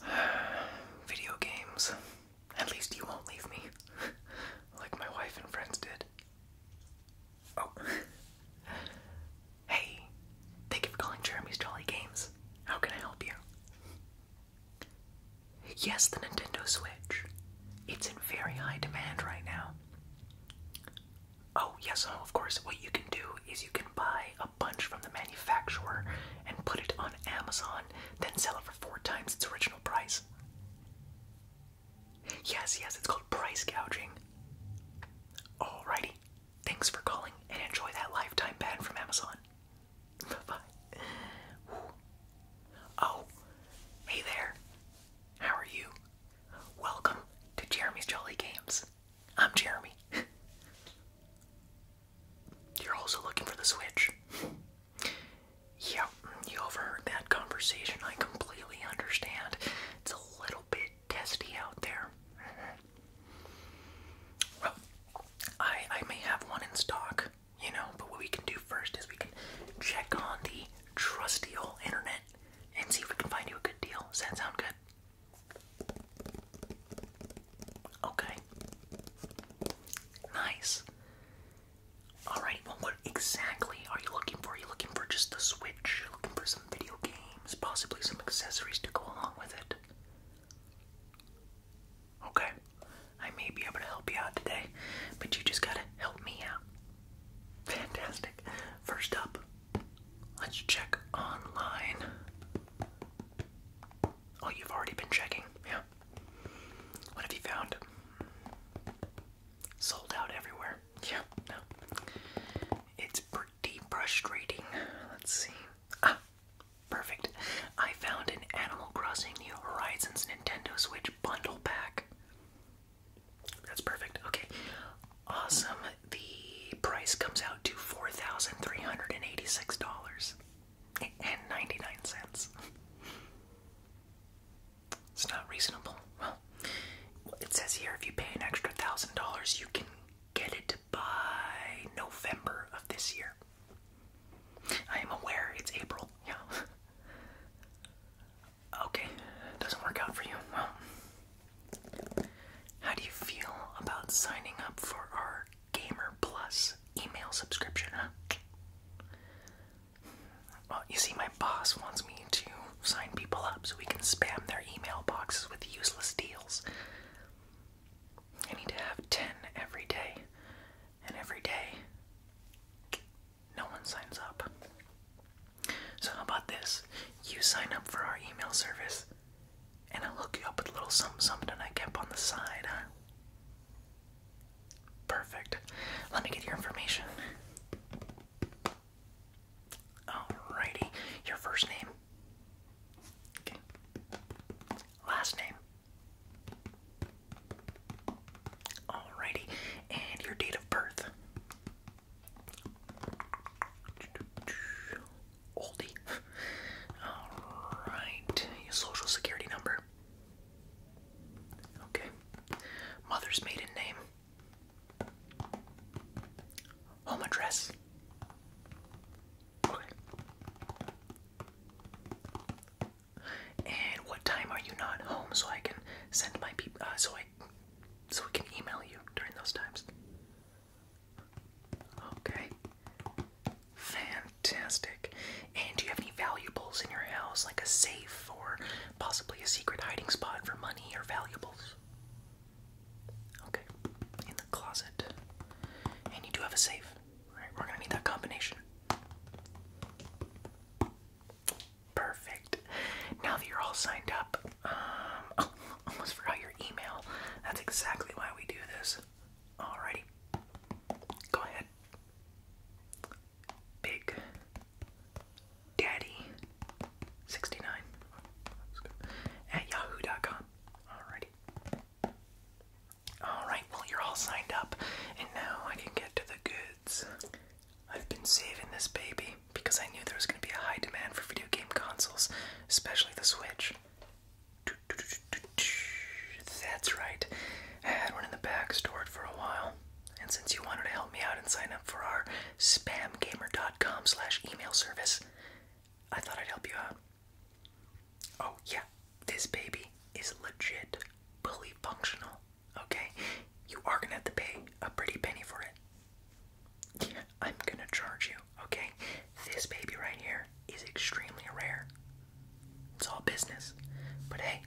Video games. At least you won't leave me, like my wife and friends did. Oh. hey, thank you for calling Jeremy's Jolly Games. How can I help you? Yes, the Nintendo Switch. It's in very high demand right now. Oh, yes, oh, of course. What you can do is you can buy a bunch from the manufacturer and put it on Amazon, then sell it for four times its original price. Yes, yes, it's called price gouging. Alrighty, thanks for calling and enjoy that lifetime ban from Amazon. Bye Oh, hey there. How are you? Welcome to Jeremy's Jolly Games. I'm Jeremy. You're also looking for the Switch. Yeah, you overheard that conversation. I completely understand. It's a little bit testy out there. Well, I I may have one in stock, you know, but what we can do first is we can check on the trusty old internet and see if we can find you a good deal. Does that sound good? Okay. Nice. Alrighty, well, what exactly are you looking for? Are you looking for just the Switch? You're looking for some video games, possibly some accessories to go along with it? Okay? I may be able to help you out today, but you just gotta help me out. Fantastic. First up, let's check online. Oh, you've already been checking, yeah. What have you found? Sold out everywhere. Yeah, no. It's pretty frustrating. Let's see. Ah, perfect. I found an Animal Crossing New Horizons Nintendo Switch bundle pack. That's perfect. Okay. Awesome. The price comes out to $4,386 and 99 cents. It's not reasonable. Well, it says here if you pay an extra $1,000, you can get it by November of this year. I am aware it's April, yeah. okay, doesn't work out for you. Well, how do you feel about signing up for our Gamer Plus email subscription, huh? Well, you see, my boss wants me to sign people up so we can spam their email boxes with useless deals. I need to have 10 every day. And every day, no one signs up. So, how about this? You sign up for our email service, and I'll hook you up with a little something something I kept on the side, huh? Perfect. Let me get your information. Alrighty, your first name Last name. Alrighty, and your date of birth. Oldie. Alright, your social security number. Okay. Mother's maiden name. Home address. And what time are you not home so I can send my people uh, so I so I can email you during those times? Okay. Fantastic. And do you have any valuables in your house, like a safe or possibly a secret hiding spot for money or valuables? Okay, in the closet. And you do have a safe. Alright, we're gonna need that combination. Perfect. Now that you're all signed up, um, oh, almost forgot your email. That's exactly why we do this. Alrighty. Go ahead. Big Daddy69 at yahoo.com. Alrighty. Alright, well, you're all signed up, and now I can get to the goods. I've been saving this baby because I knew there was going to be a high demand for video game consoles, especially the Switch. That's right. I had one in the back stored for a while. And since you wanted to help me out and sign up for our spamgamer.com slash email service, I thought I'd help you out. Oh, yeah, this baby is legit, fully functional, okay? You are gonna have to pay a pretty penny for it. I'm gonna charge you, okay? This baby right here is extremely rare. It's all business. But hey,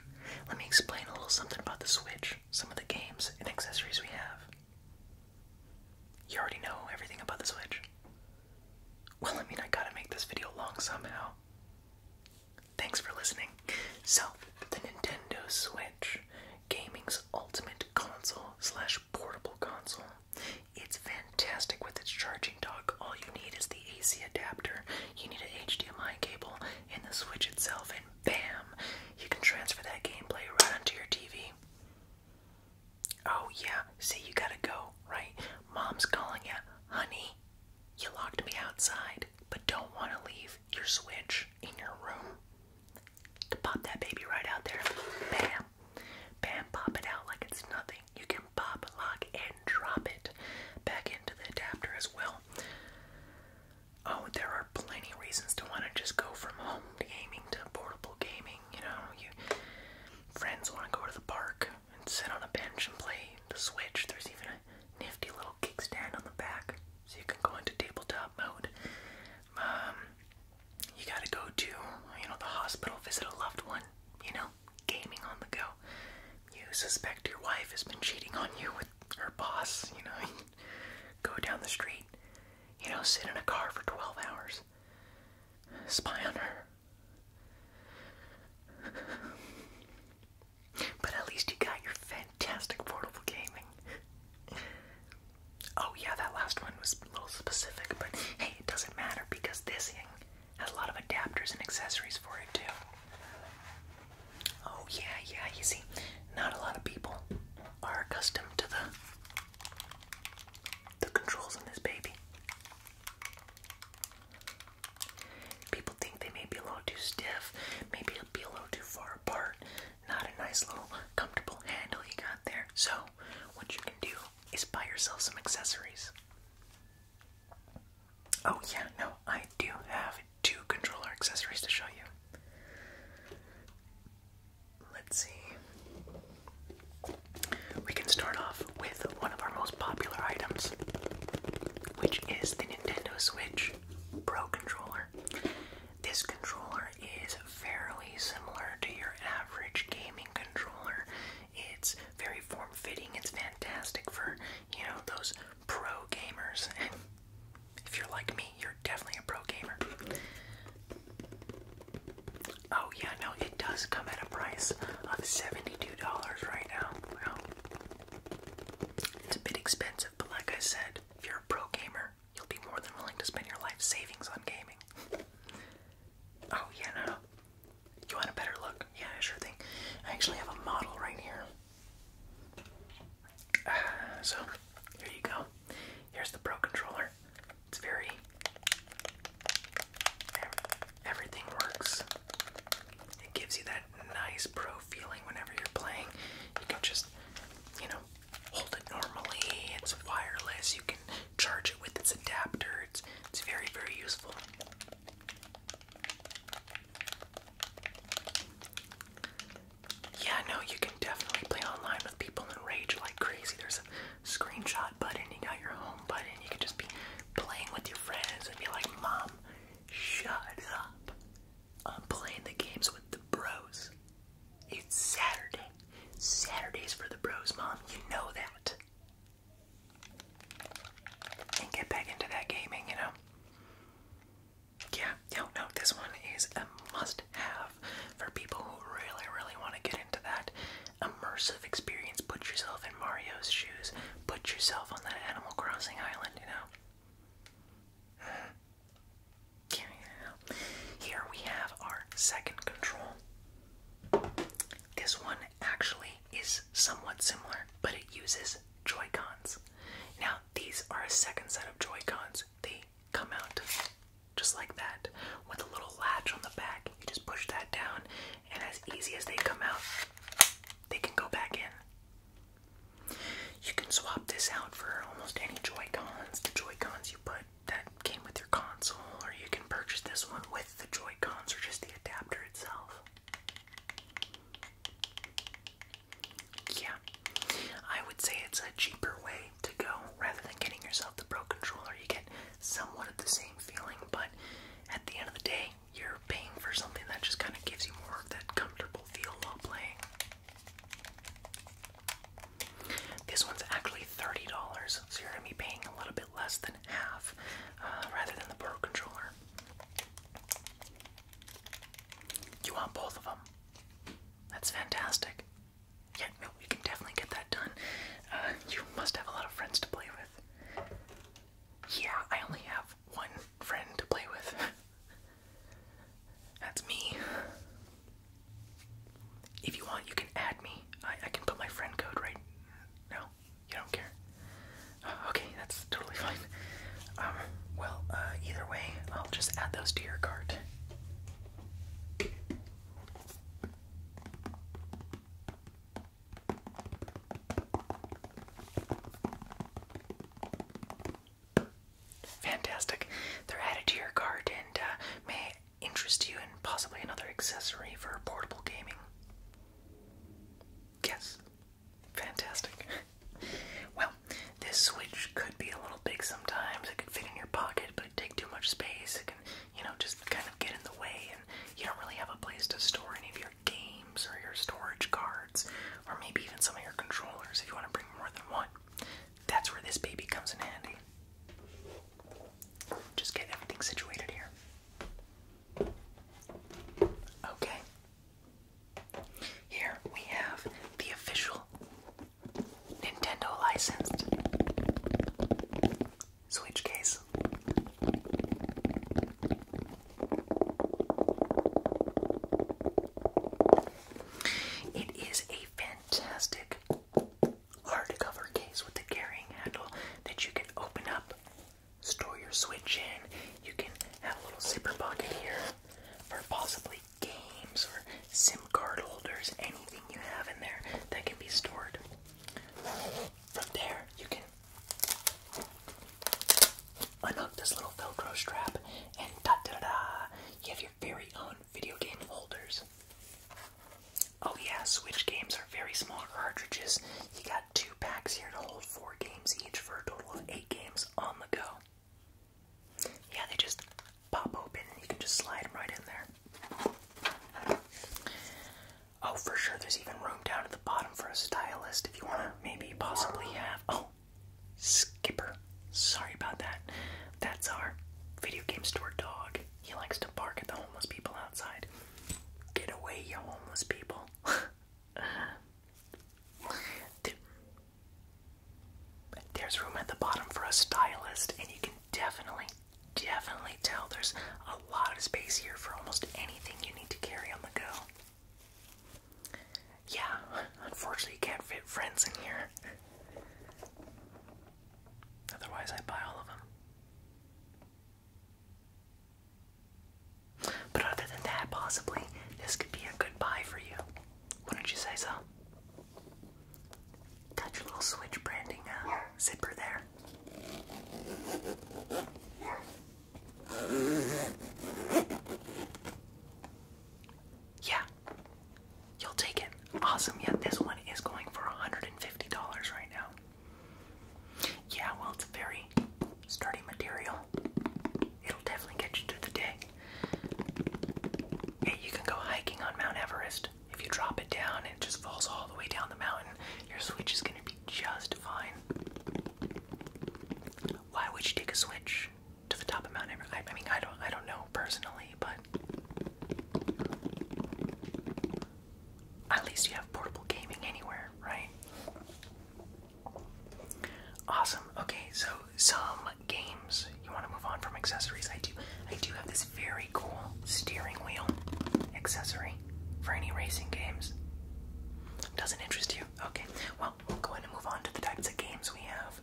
let me explain a little something about the Switch, some of the games and accessories we have. You already know everything about the Switch. Well, I mean, I gotta make this video long somehow. Thanks for listening. So, the Nintendo Switch, gaming's ultimate console slash portable console. It's fantastic with its charging dock. All you need is the AC adapter, you need an HDMI cable, and the Switch itself, and bam! You can transfer that gameplay right onto your TV. Oh, yeah. See, you gotta go, right? Mom's calling you. Honey, you locked me outside, but don't want to leave your switch in your room. To pop that baby right out there. Bam. Bam, pop it out like it's nothing. You can pop, lock, and drop it back into the adapter as well. Oh, there are plenty of reasons to want to just go from home gaming to portable gaming you know, you friends want to go to the park and sit on a bench and play the Switch. There's even a nifty little kickstand on the back, so you can go into tabletop mode. Um, you gotta go to you know the hospital, visit a loved one. You know, gaming on the go. You suspect your wife has been cheating on you with her boss. You know, go down the street. You know, sit in a car for 12 hours spy on her. But at least you got your fantastic portable gaming. Oh, yeah, that last one was a little specific, but hey, it doesn't matter because this thing has a lot of adapters and accessories for it, too. Oh, yeah, yeah, you see, not a lot of people are accustomed to the the controls on this baby. People think they may be a little too stiff, maybe a little too far apart. Not a nice little comfortable handle you got there. So, what you can do is buy yourself some accessories. Oh, yeah, no, I do have two controller accessories to show you. Let's see. We can start off with one of our most popular items, which is the Nintendo Switch Pro Controller. This controller is fairly similar to your average gaming controller. It's very form fitting, it's fantastic for, you know, those pro gamers. And if you're like me, you're definitely a pro gamer. Oh yeah, no, it does come at a price of seventy-two dollars right now. Well, it's a bit expensive, but like I said, if you're a pro gamer, you'll be more than willing to spend your life savings on gaming. oh yeah, no. You want a better look? Yeah, sure thing. I actually have a model right here. so, here you go. Here's the Pro Controller. It's very. Everything works. It gives you that nice pro feeling whenever you're playing. You can just, you know, hold it normally. It's wireless. You can charge it with its adapter. It's it's very very useful yeah, no, you can definitely play online with people and rage like crazy. There's a screenshot button, you got your home button, you can just be playing with your friends and be like, Mom, shut up. I'm playing the games with the bros. It's Saturday. Saturday's for the bros, Mom. You know that. And get back into that gaming, you know? Yeah, no, no, this one is a must have for people who really, really want to get into that immersive experience. Put yourself in Mario's shoes, put yourself on that Animal Crossing island, you know? Here we have our second control. This one actually is somewhat similar, but it uses Joy Now, these are a second set of Joy Cons come out just like that with a little latch on the back. You just push that down, and as easy as they come out, they can go back in. You can swap this out for almost any Joy Cons. The Joy Cons you put that came with your console, or you can purchase this one with the Joy Cons or just the adapter itself. Yeah, I would say it's a cheaper way to go. Rather than getting yourself the Pro controller, you get somewhat of the same feeling, but at the end of the day, you're paying for something that just kind of gives you more of that comfortable feel while playing. This one's actually $30, so you're going to be paying a little bit less than half uh, rather than the Pro controller. You want both of them? That's fantastic. Yeah, no, we can definitely get that done. Uh, you must have a lot of friends to play with. Yeah, I only have one friend to play with. That's me. If you want, you can add me. I, can put my friend code right. No, you don't care. Uh, okay, that's totally fine. Um, well, uh, either way, I'll just add those to your cart. Fantastic. They're added to your cart and uh, may interest you in possibly another accessory for portable gaming. Yes. Fantastic. well, this switch could be a little big sometimes. It could fit in your pocket, but it take too much space. It can, you know, just kind of get in the way, and you don't really have a place to store any of your games or your storage cards, or maybe even some of your controllers if you want to bring more than one. That's where this baby comes in handy. Just get everything situated here. Okay. Here we have the official Nintendo licensed Switch case. It is a fantastic hardcover case with a carrying handle that you can open up, store your Switch in. You can have a little zipper pocket here for possibly games or SIM card holders, anything you have in there that can be stored. From there, you can unhook this little Velcro strap, and da da da, you have your very own video game holders. Oh, yeah, Switch games are very small cartridges. You got two packs here to hold four games each for a total of eight games on the go. Yeah, they just pop open and you can just slide them right in there. Oh, for sure, there's even room down at the bottom for a stylist if you want to maybe possibly have. Oh, Skipper. Sorry about that. That's our video game store dog. He likes to bark at the homeless people outside. Get away, you homeless people. There's room at the bottom for a stylist, and you can definitely, definitely tell there's a lot of space here for almost anything you need to carry on the go. Yeah, unfortunately, you can't fit friends in here. Otherwise, I'd buy all of them. But other than that, possibly, this could be a good buy for you. Wouldn't you say so? Got your little switch branding uh, zipper there. Yeah, you'll take it. Awesome. Yeah, this one is going for $150 right now. Yeah, well, it's very sturdy material. It'll definitely get you through the day you can go hiking on Mount Everest. If you drop it down it just falls all the way down the mountain, your Switch is going to be just fine. Why would you take a Switch to the top of Mount Everest? I, I mean, I don't, I don't know personally, but at least you have portable gaming anywhere, right? Awesome. Okay, so some games. You want to move on from accessories? I do. I do have this very cool steering wheel accessory for any racing games. Doesn't interest you? Okay. Well, we'll go ahead and move on to the types of games we have.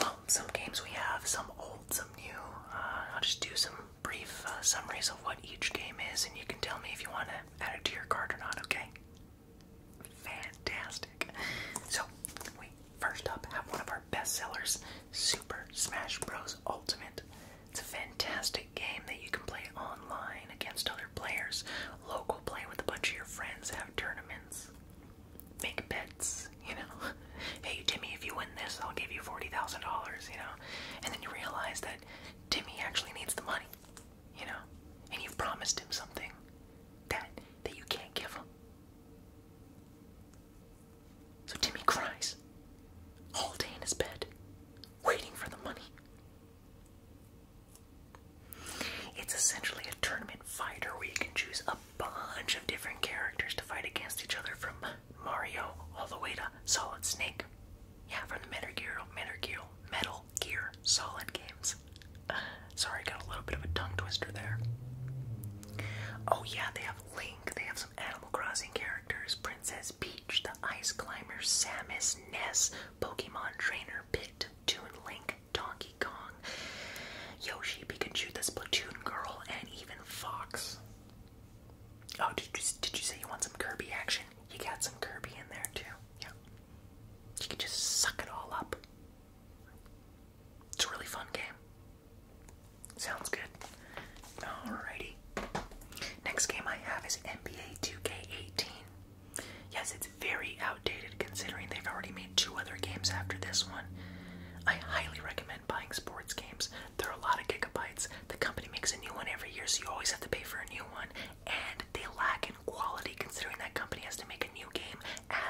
Well, some games we have, some old, some new. Uh, I'll just do some brief uh, summaries of what each game is, and you can tell me if you want to add it to your card or not, okay? fantastic. So, we first up have one of our best sellers, Super Smash Bros. Ultimate. It's a fantastic game that you can play online against other players, local play with a bunch of your friends, have tournaments, make bets, you know. Hey, Timmy, if you win this, I'll give you $40,000, you know. And then you realize that Timmy actually needs the money. You know? And you've promised him something that that you can't give him. So Timmy cries all day in his bed, waiting for the money. It's essentially a tournament fighter where you can choose a bunch of different characters to fight against each other from Mario all the way to Solid Snake. Yeah, from the Metal Gear, Metal Gear, Metal Gear Solid games. Sorry, got a little bit of a tongue twister there. Oh, yeah, they have Link, they have some Animal Crossing characters Princess Peach, the Ice Climber, Samus, Ness, Pokemon Trainer, Pit, Toon Link, Donkey Kong, Yoshi, Pikachu, this Platoon Girl, and even Fox. Oh, did you, did you say you want some Kirby action? You got some Kirby in there too. Yeah. You can just suck it all up. It's a really fun game. Sounds good. Alrighty. Next game I have is NBA 2K18. Yes, it's very outdated considering they've already made two other games after this one. I highly recommend buying sports games. There are a lot of gigabytes. The company makes a new one every year, so you always have to pay for a new one, and they lack in quality considering that company has to make a new game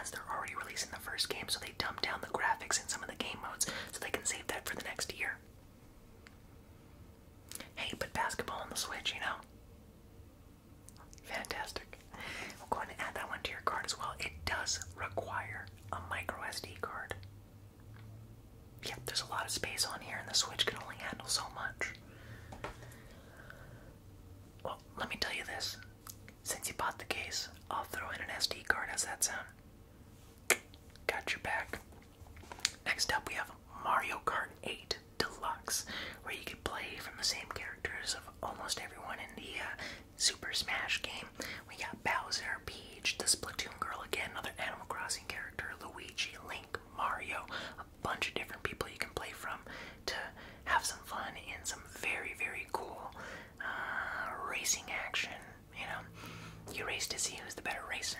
as they're already releasing the first game, so they dumb down the graphics in some of the game modes so they can save that for the next year. Hey, but basketball on the Switch, you know? Fantastic. We'll go ahead and add that one to your card as well. It does require a micro SD card. Yep, there's a lot of space on here, and the Switch can only handle so much. Well, let me tell you this. Since you bought the case, I'll throw in an SD card. How's that sound? Got your back. Next up, we have Mario Kart 8 Deluxe, where you can play from the same characters of almost everyone in the uh, Super Smash game. We got Bowser, Peach, the Splatoon Girl again, another Animal Crossing character, Luigi, Link, Mario, bunch of different people you can play from to have some fun and some very, very cool uh, racing action. You know, you race to see who's the better racer.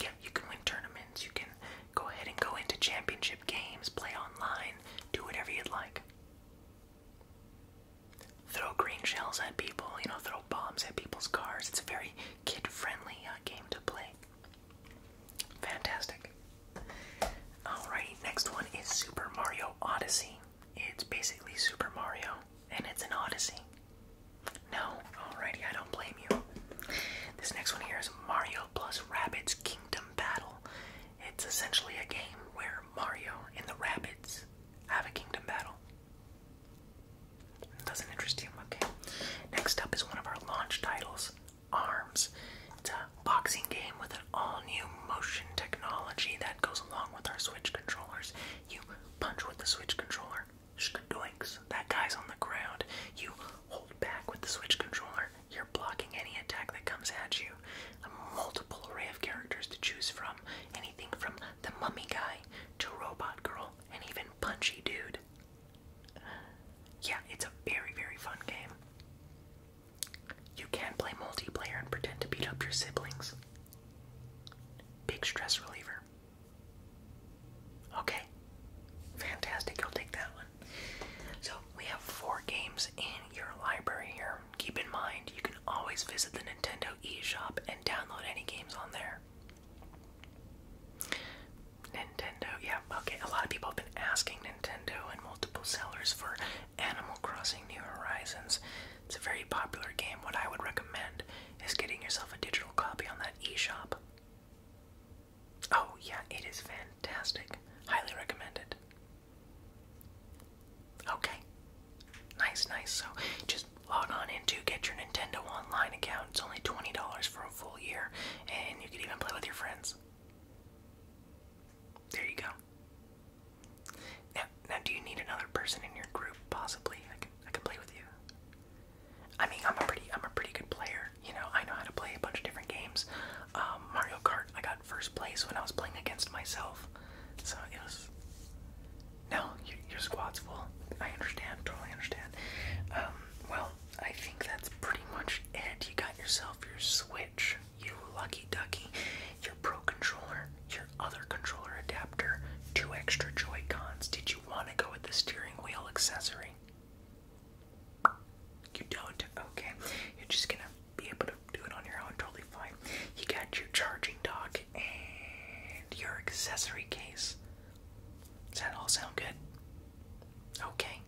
Yeah, you can win tournaments, you can go ahead and go into championship games, play online, do whatever you'd like. Throw green shells at people, you know, throw bombs at people's cars. It's a very kid-friendly uh, game to play. Fantastic. Alrighty, next one is Super Mario Odyssey. It's basically Super Mario, and it's an Odyssey. No, alrighty, I don't blame you. This next one here is Mario plus Rabbits Kingdom Battle. It's essentially a game where Mario and the Rabbits have a kingdom battle. Doesn't interest you? Okay. Next up is one of our launch titles, Arms. It's a boxing game with an all-new motion technology that goes along with our Switch controllers. You punch with the Switch controller, shkadoinks, that guy's on the ground. You hold back with the Switch controller, you're blocking any attack that comes at you. A multiple array of characters to choose from, anything from the mummy guy to robot girl, and even punchy dude. Yeah, it's a very, very fun game. You can play multiplayer and pretend to beat up your siblings. Big stress reliever. Okay, fantastic. you will take that one. So, we have four games in your library here. Keep in mind, you can always visit the Nintendo eShop and download any games on there. Nintendo, yeah, okay. A lot of people have been asking Nintendo and multiple sellers for Animal Crossing New Horizons. It's a very popular game. What I would recommend is getting yourself a digital copy on that e-shop. Oh, yeah, it is fantastic. Highly recommended. Okay. Nice, nice. So, just log on into get your Nintendo Online account. It's only twenty dollars for a full year, and you can even play with your friends. There you go. Now, now, do you need another person in your group? Possibly, I can I can play with you. I mean, I'm a pretty I'm a pretty good player. You know, I know how to play a bunch of different games. Um, Mario Kart, I got first place when I was playing against myself, so it no, your, your squad's full. I understand, totally understand. Um, well, I think that's pretty much it. You got yourself your Switch, you lucky ducky, your Pro Controller, your other controller adapter, two extra Joy-Cons. Did you want to go with the steering wheel accessory? You don't? Okay. You're just gonna be able to do it on your own, totally fine. You got your charging dock and your accessory case. Does that all sound good? Okay.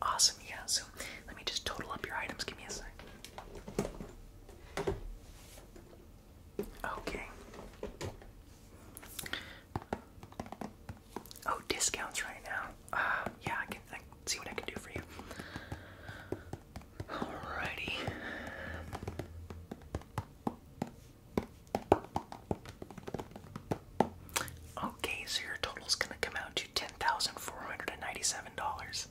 Awesome, yeah. So let me just total up your items. Give me a sec. Okay. Oh, discounts right now. Uh, yeah, I can see what I can do for you. Alrighty. Okay, so your total's gonna come out to ten thousand four hundred and ninety-seven dollars.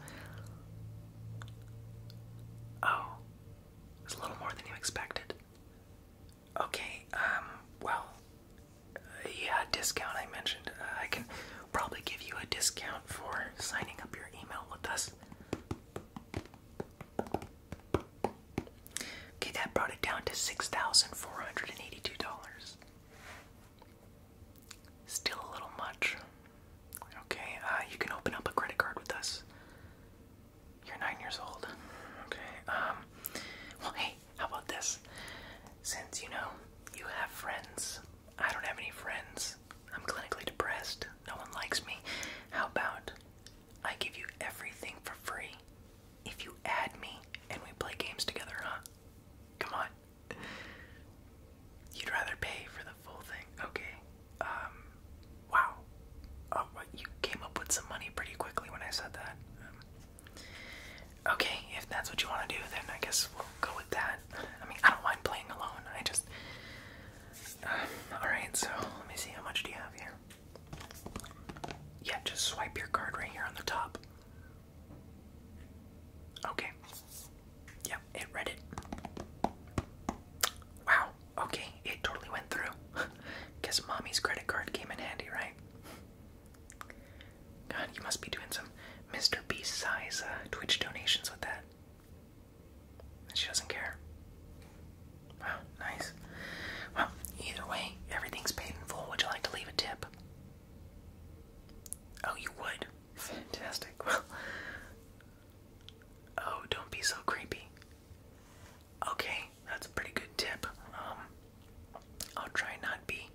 Oh, it's a little more than you expected. Okay, um, well, uh, yeah, discount I mentioned. Uh, I can probably give you a discount for signing up your email with us. Okay, that brought it down to $6,482. Still a little much. Okay, uh, you can open up a credit card with us. You're nine years old. Okay, um, well, hey, how about this? Since you know you have friends, I don't have any friends. I'm clinically depressed. No one likes me. How about I give you everything for free if you add me and we play games together, huh? Come on. You'd rather pay for the full thing. Okay. Um, wow. Oh, you came up with some money pretty quickly when I said that. okay, if that's what you want to do, then I guess we'll go with that. I mean, I don't mind playing alone. I just. Alright, so let me see how much do you have here? Yeah, just swipe your card right here on the top. Okay. Yep, it read it. Wow, okay, it totally went through. Guess mommy's credit card came in handy, right? God, you must be doing some Mr. Beast size uh, Twitch donations with that she doesn't care. Wow, nice. Well, either way, everything's paid Would you like to leave a tip? Oh, you would? Fantastic. Well, oh, don't be so creepy. Okay, that's a pretty good tip. Um, I'll try not be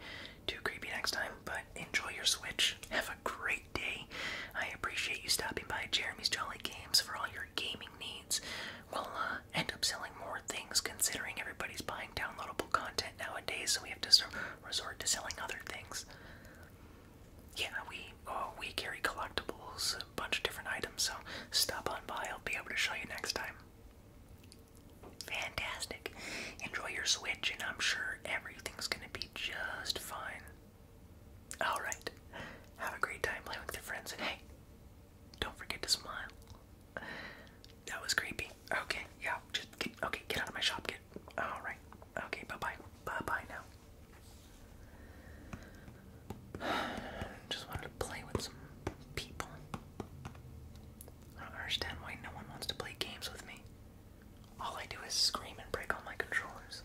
too creepy next time, but enjoy your Switch great day. I appreciate you stopping by Jeremy's Jolly Games for all your gaming needs. We'll uh, end up selling more things considering everybody's buying downloadable content nowadays, so we have to resort to selling other things. Yeah, we uh, we carry collectibles, a bunch of different items, so stop on by. I'll be able to show you next time. Fantastic. Enjoy your Switch, and I'm sure everything's going to be just fine. Alright, have a great time playing with your friends, and hey, don't forget to smile. That was creepy. Okay, yeah, just okay, get out of my shop, get, alright, okay, bye-bye, bye-bye now. Just wanted to play with some people. I don't understand why no one wants to play games with me. All I do is scream and break all my controllers.